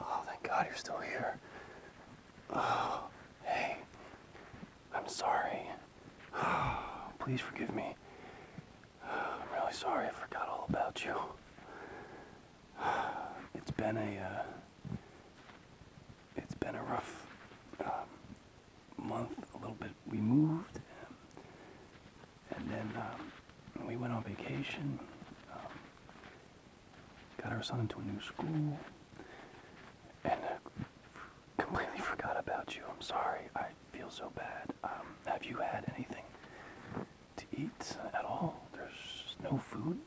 Oh, thank God you're still here. Oh, hey, I'm sorry. please forgive me. I'm really sorry I forgot all about you. It's been a, uh, it's been a rough um, month, a little bit. We moved. And then um, we went on vacation, um, got our son into a new school, and completely forgot about you. I'm sorry. I feel so bad. Um, have you had anything to eat at all? There's no food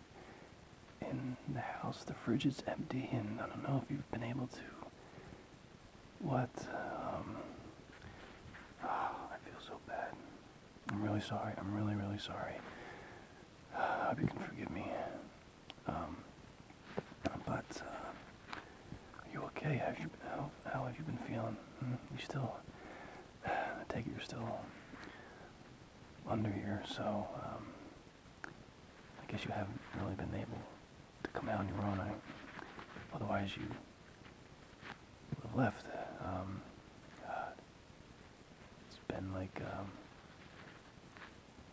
in the house. The fridge is empty, and I don't know if you've been able to. What? I feel so bad. I'm really sorry. I'm really, really sorry. I hope you can forgive me. Um, but uh, are you okay? how, have you been feeling? Hmm? You still? I take it you're still under here, so um, I guess you haven't really been able to come out on your own. otherwise, you left. Um, it's been like um,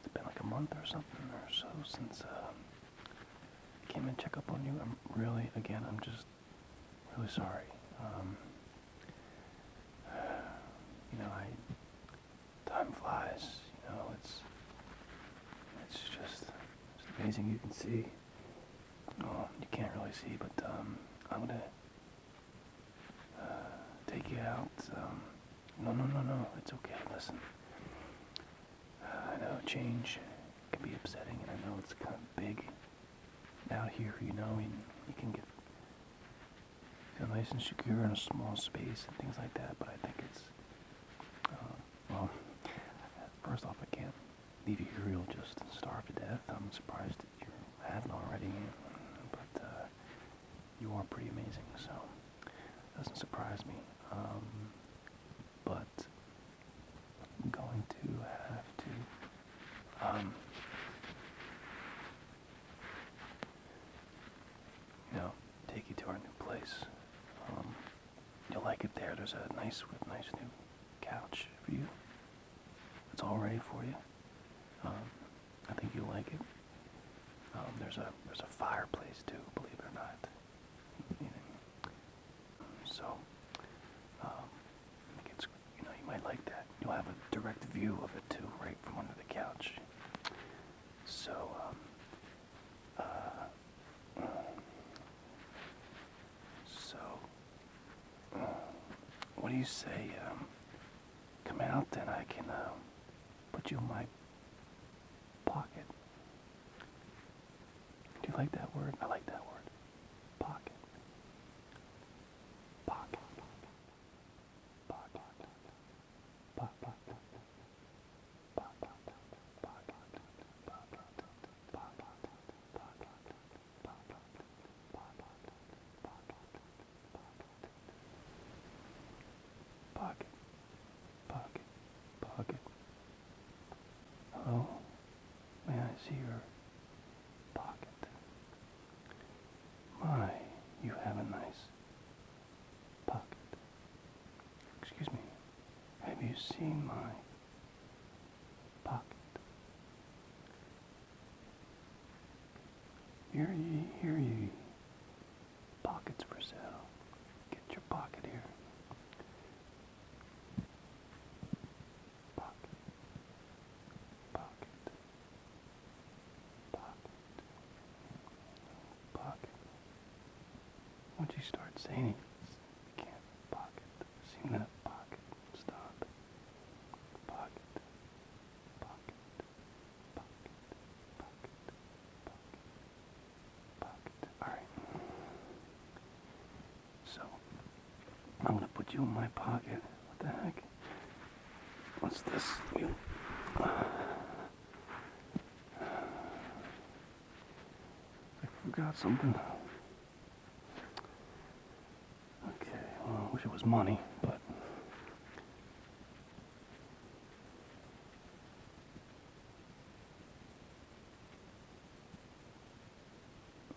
it's been like a month or something or so since uh, I came and check up on you. I'm really, again, I'm just really sorry. Um, you know, I time flies. You know, it's it's just it's amazing. You can see. Oh, you can't really see, but um, I'm gonna uh, take you out. Um, no, no, no, no, it's okay. Listen, uh, I know change can be upsetting, and I know it's kind of big out here. You know, you can get feel nice and secure in a small space and things like that. But I think it's uh, well. First off, I can't leave you here, you'll just starve to death. I'm surprised that you haven't already, but uh, you are pretty amazing, so doesn't surprise me. Um, but I'm going to have to. Um, you know, take you to our new place. Um, you'll like it there. There's a nice, nice new couch for you. It's all ready for you. Um, I think you'll like it. Um, there's a there's a fireplace too, believe it or not. so um, I think it's you know you might like that. You'll have a direct view of it too, right from under the couch. So uh, so what do you say? come out, then I can put you in my pocket. Do you like that word? I like that word. Pocket. Pocket. Pocket, pocket, pocket. Hello, oh, may I see your pocket? My, you have a nice pocket. Excuse me, have you seen my pocket. Hear ye, hear ye. Pockets for sale. Get your pocket here. Pocket. Pocket. Pocket. Pocket. Once you start saying it, can't pocket. Seen that pocket. Stop. Pocket. Pocket. Pocket. Pocket. Pocket. Pocket. Alright. So I'm gonna put you in my pocket. What the heck? What's this? I forgot something. Okay, well, I wish it was money, but.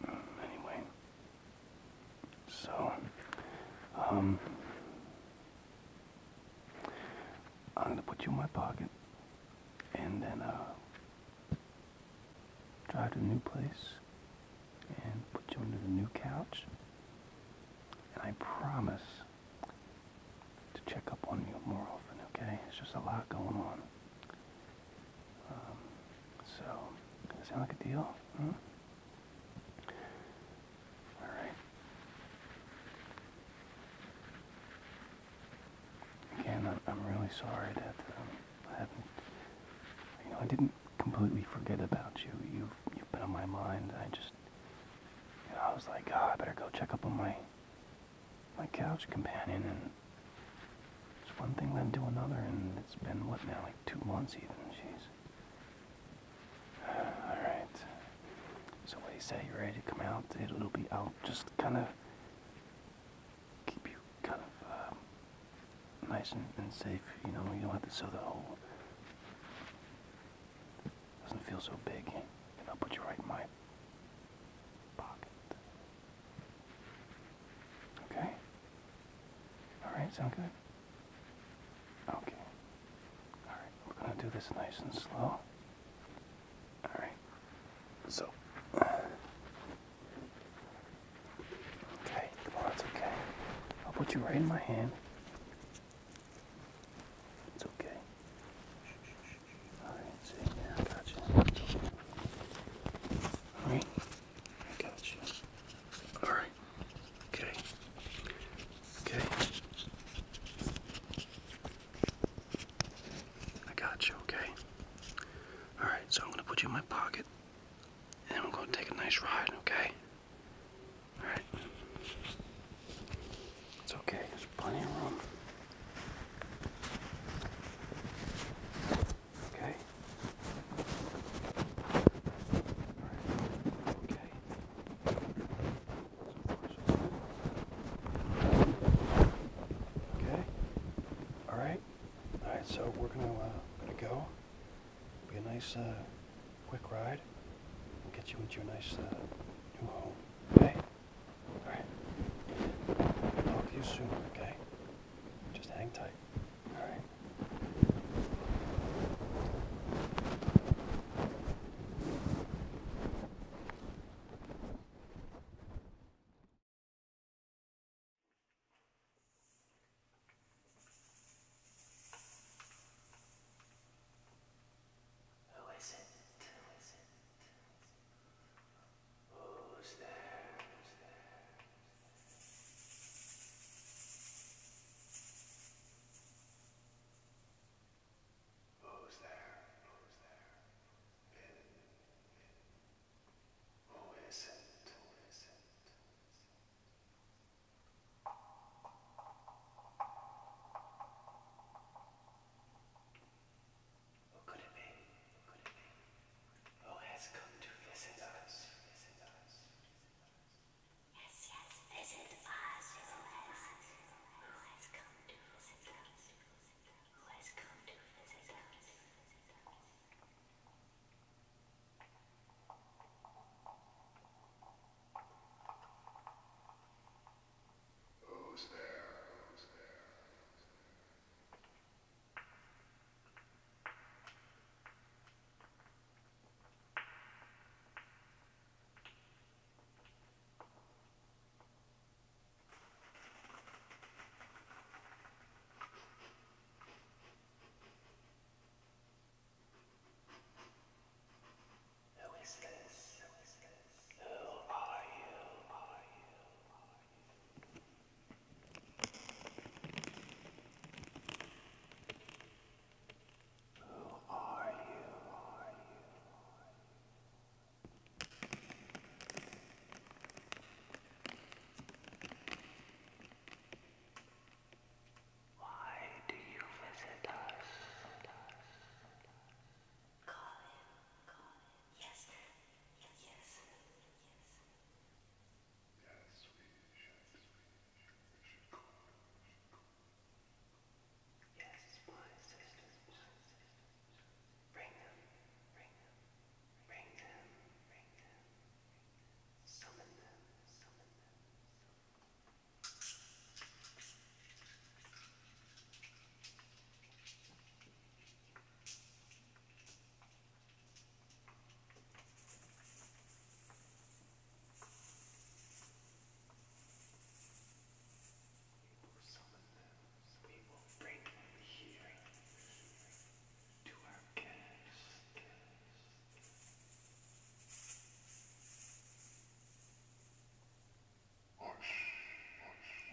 Anyway, so, um, I'm gonna put you in my pocket, and then, uh, drive to a new place and put you under a new couch. And I promise to check up on you more often, okay? It's just a lot going on. Um, so, sound like a deal? Huh? Hmm? Alright. Again, I'm, really sorry that um, I haven't, you know, I didn't completely forget about you. You've, you've been on my mind. I just, you know, I was like, oh, I better go check up on my, my couch companion, and it's one thing then to another, and it's been, what now, like two months even, jeez. Alright. So what you say, you ready to come out? It'll be, out. just kind of keep you kind of um, nice and, safe. You know, you don't have to sew the hole. Doesn't feel so big, and I'll put you right in my pocket. Okay. All right. Sound good. Okay. All right. We're gonna do this nice and slow. All right. So. Okay, come on, it's okay. I'll put you right in my hand. It's okay. Alright, I got you. Alright, I got you. Alright, okay. Okay. I got you, okay? Alright, so I'm gonna put you in my pocket. And we're going to take a nice ride, okay? Alright. It's okay, there's plenty of room. Okay. Right. Okay. Okay. All right. All right, so we're gonna uh, gonna go. Be a nice uh, quick ride. we get you into your nice uh, new home. Okay. All talk to you soon. Okay. Just hang tight. All right. Who is it? Who is it? Who's there? Who's there? Who's there? Who's there? In, in, who is it? Who is it? Who could it be? Who could it be? Who has come to visit us? Visit us. Yes, yes, visit us. Who has, who has come to visit us? Who has come to visit us? Who has come to visit us? Who's there? Who's there? Who is this? Who is this? Who are you? Are you? Are you? Who are you? Are you? Are you? Why do you visit us? Call him. Call him. Yes. Yes. Yes. Yes. Yes, we should. We should call him. Yes, my sisters. Bring them. Bring them. Bring them. Bring them. Summon them. Summon them. We will summon them. We will bring them here. Bring them here to our we will,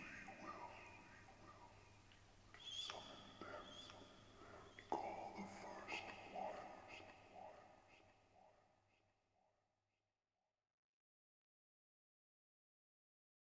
we will call the first waters,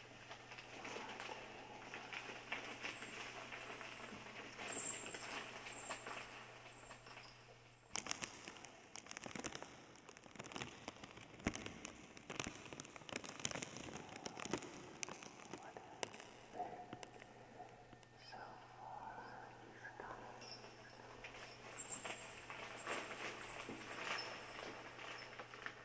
So far, he's coming. He's coming.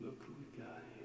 Look who we got here.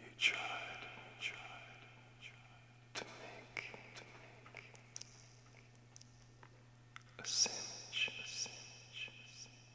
You tried, you tried, you tried to make, a sandwich, a sandwich,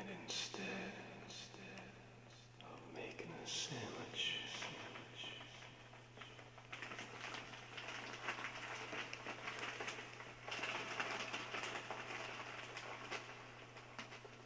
And instead, instead of making a sandwich, sandwich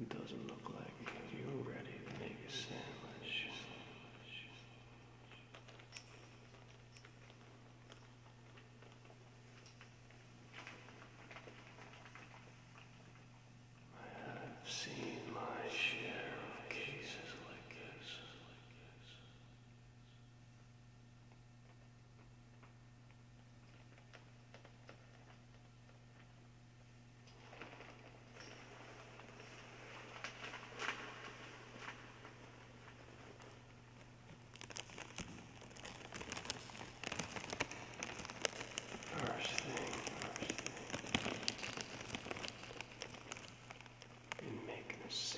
It doesn't look like you're ready to make a sandwich. I had I've seen my share of cases like this. First thing, first thing and making a is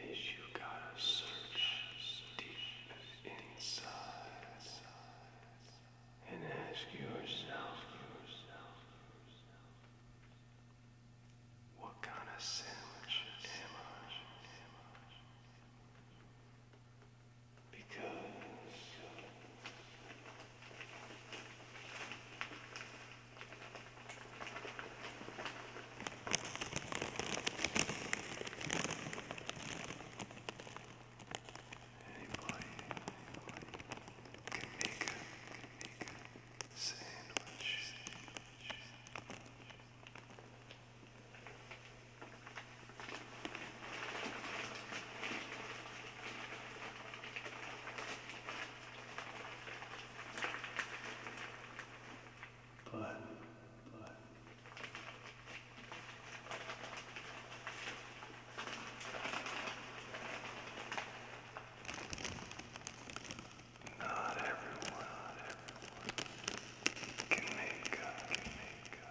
you gotta search deep inside and ask yourself, what kind of sandwich because anybody, can make a, can make but, but. Not everyone, not everyone can make up, can make up.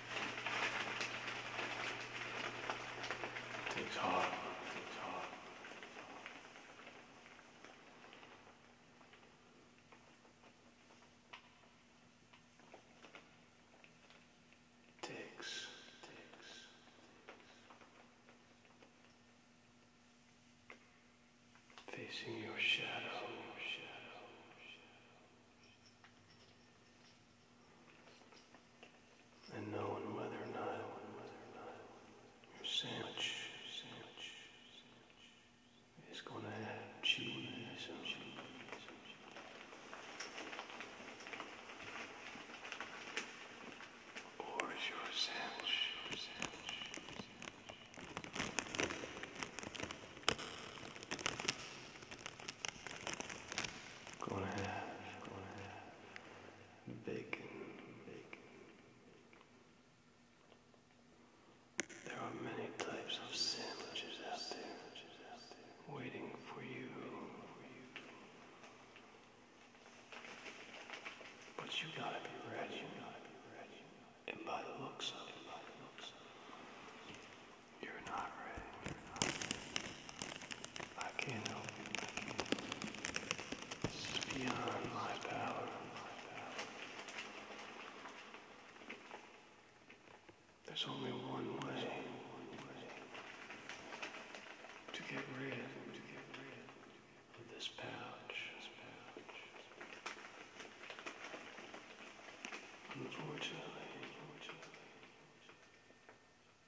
Takes heart. Takes heart. Facing your shadow and knowing whether or not your sandwich is going to have cheese Or is your sandwich Gonna have, gonna have bacon, There are many types of sandwiches out there, waiting for you. But You gotta be ready. And by the looks of it, you're not ready. I can't help you. I beyond my power. There's only one way to get rid of this pouch. unfortunately,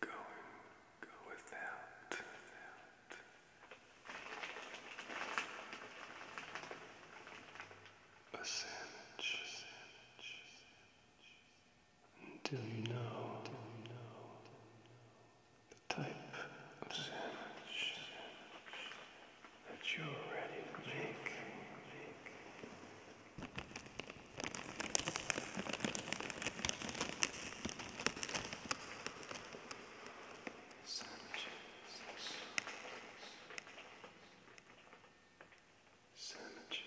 Going go without, A sandwich, a you you know, the type of sandwich that you're ready to make. Sandwiches. Sandwiches.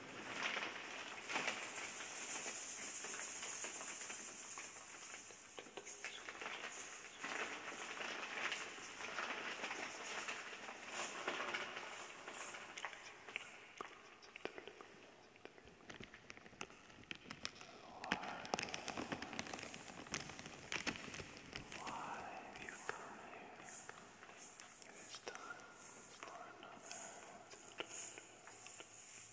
you come here? It's time for another.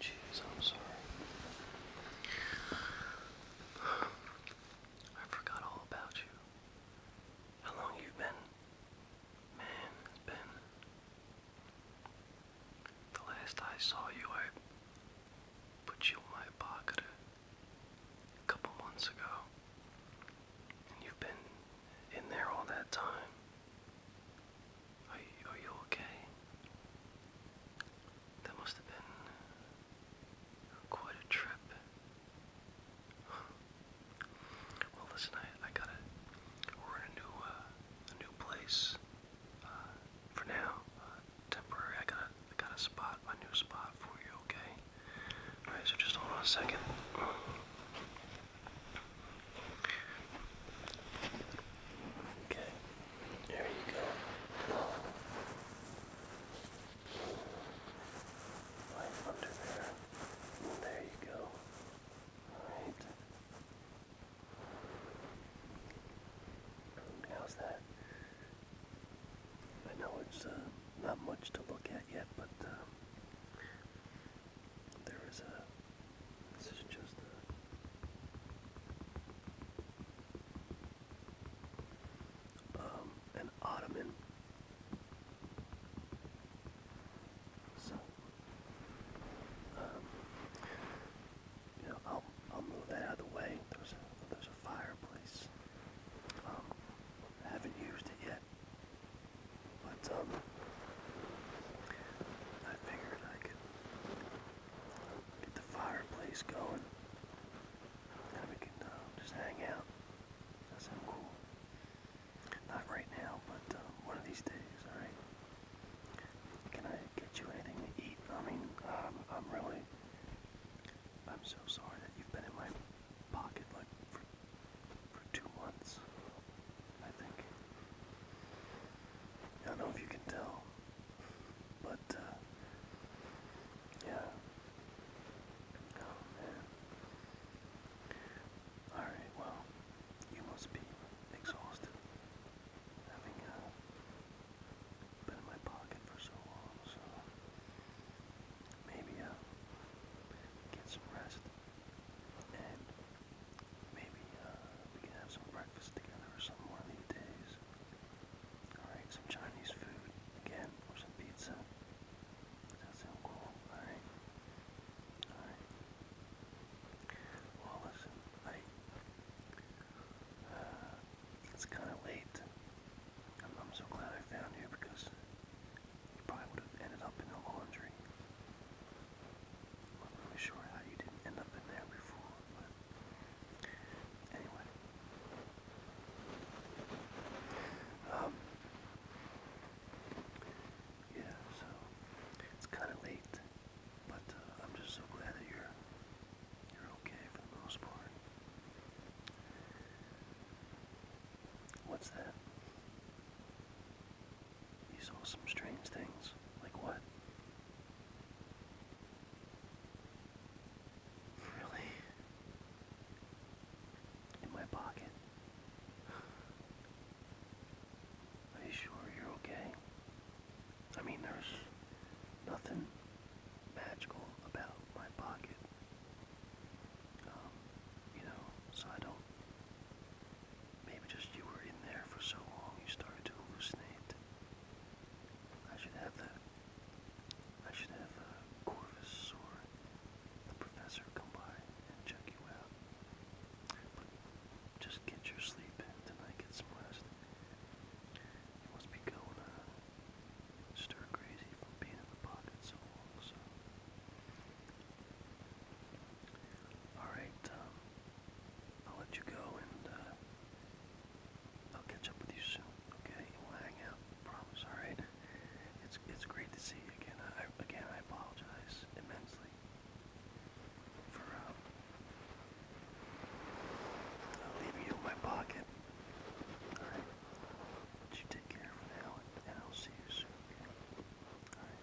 Jeez, I'm sorry. I forgot all about you. How long you been? Man, it's been. The last I saw you, I put you in my pocket a couple months ago. And you've been in there all that time. Are you, okay? That must have been quite a trip. well, listen, I, I gotta. We're in a new, uh, a new place. Uh, for now, uh, temporary. I gotta, gotta spot my new spot for you. Okay. All right. So just hold on a second. Okay, there you go. Right under there. There you go. Alright. How's that? I know it's uh, not much to look at yet, but uh, there is a this is just a, um, an ottoman. So, um, I'll I'll move that out of the way. There's a, there's a fireplace. Um, haven't used it yet, but um, I figured I could Get the fireplace going. And we can uh, just hang out. That sounds cool. Not right now, but uh, one of these days, alright? Can I get you anything to eat? I mean, um, I'm really. I'm so sorry that you've been in my pocket like for, for two months, I think. I don't know if you can tell, but uh, yeah. Oh, Alright, well, you must be exhausted. Having uh, been in my pocket for so long, so maybe uh, get some rest Maybe uh, we can have some breakfast together or something one of these days. Alright, some Chinese food again, or some pizza. that sound cool? Alright. Alright. Well, uh, it's kind of late. I'm, so glad I found you because you probably would have ended up in the laundry. I'm not really sure how you did up in there before, but anyway. Um, yeah, so it's kind of late, but uh, I'm just so glad that you're you're okay for the most part. What's that? You saw some strange things. Like what? Really? In my pocket? Are you sure you're okay? I mean, there's nothing magical about my pocket. Um, you know, so I don't Maybe just you were in there for so long you started to hallucinate. I should have the should have uh, Corvus or the professor come by and check you out. But just get your sleep in tonight, get some rest. You must be going uh, stir crazy from being in the pocket so long, so. Alright, um, I'll let you go and uh, I'll catch up with you soon. Okay, we'll hang out. Promise. All right. It's it's great to see you again. again, I apologize immensely for um, leaving you in my pocket. All right. you take care for now, and, I'll see you soon. All right.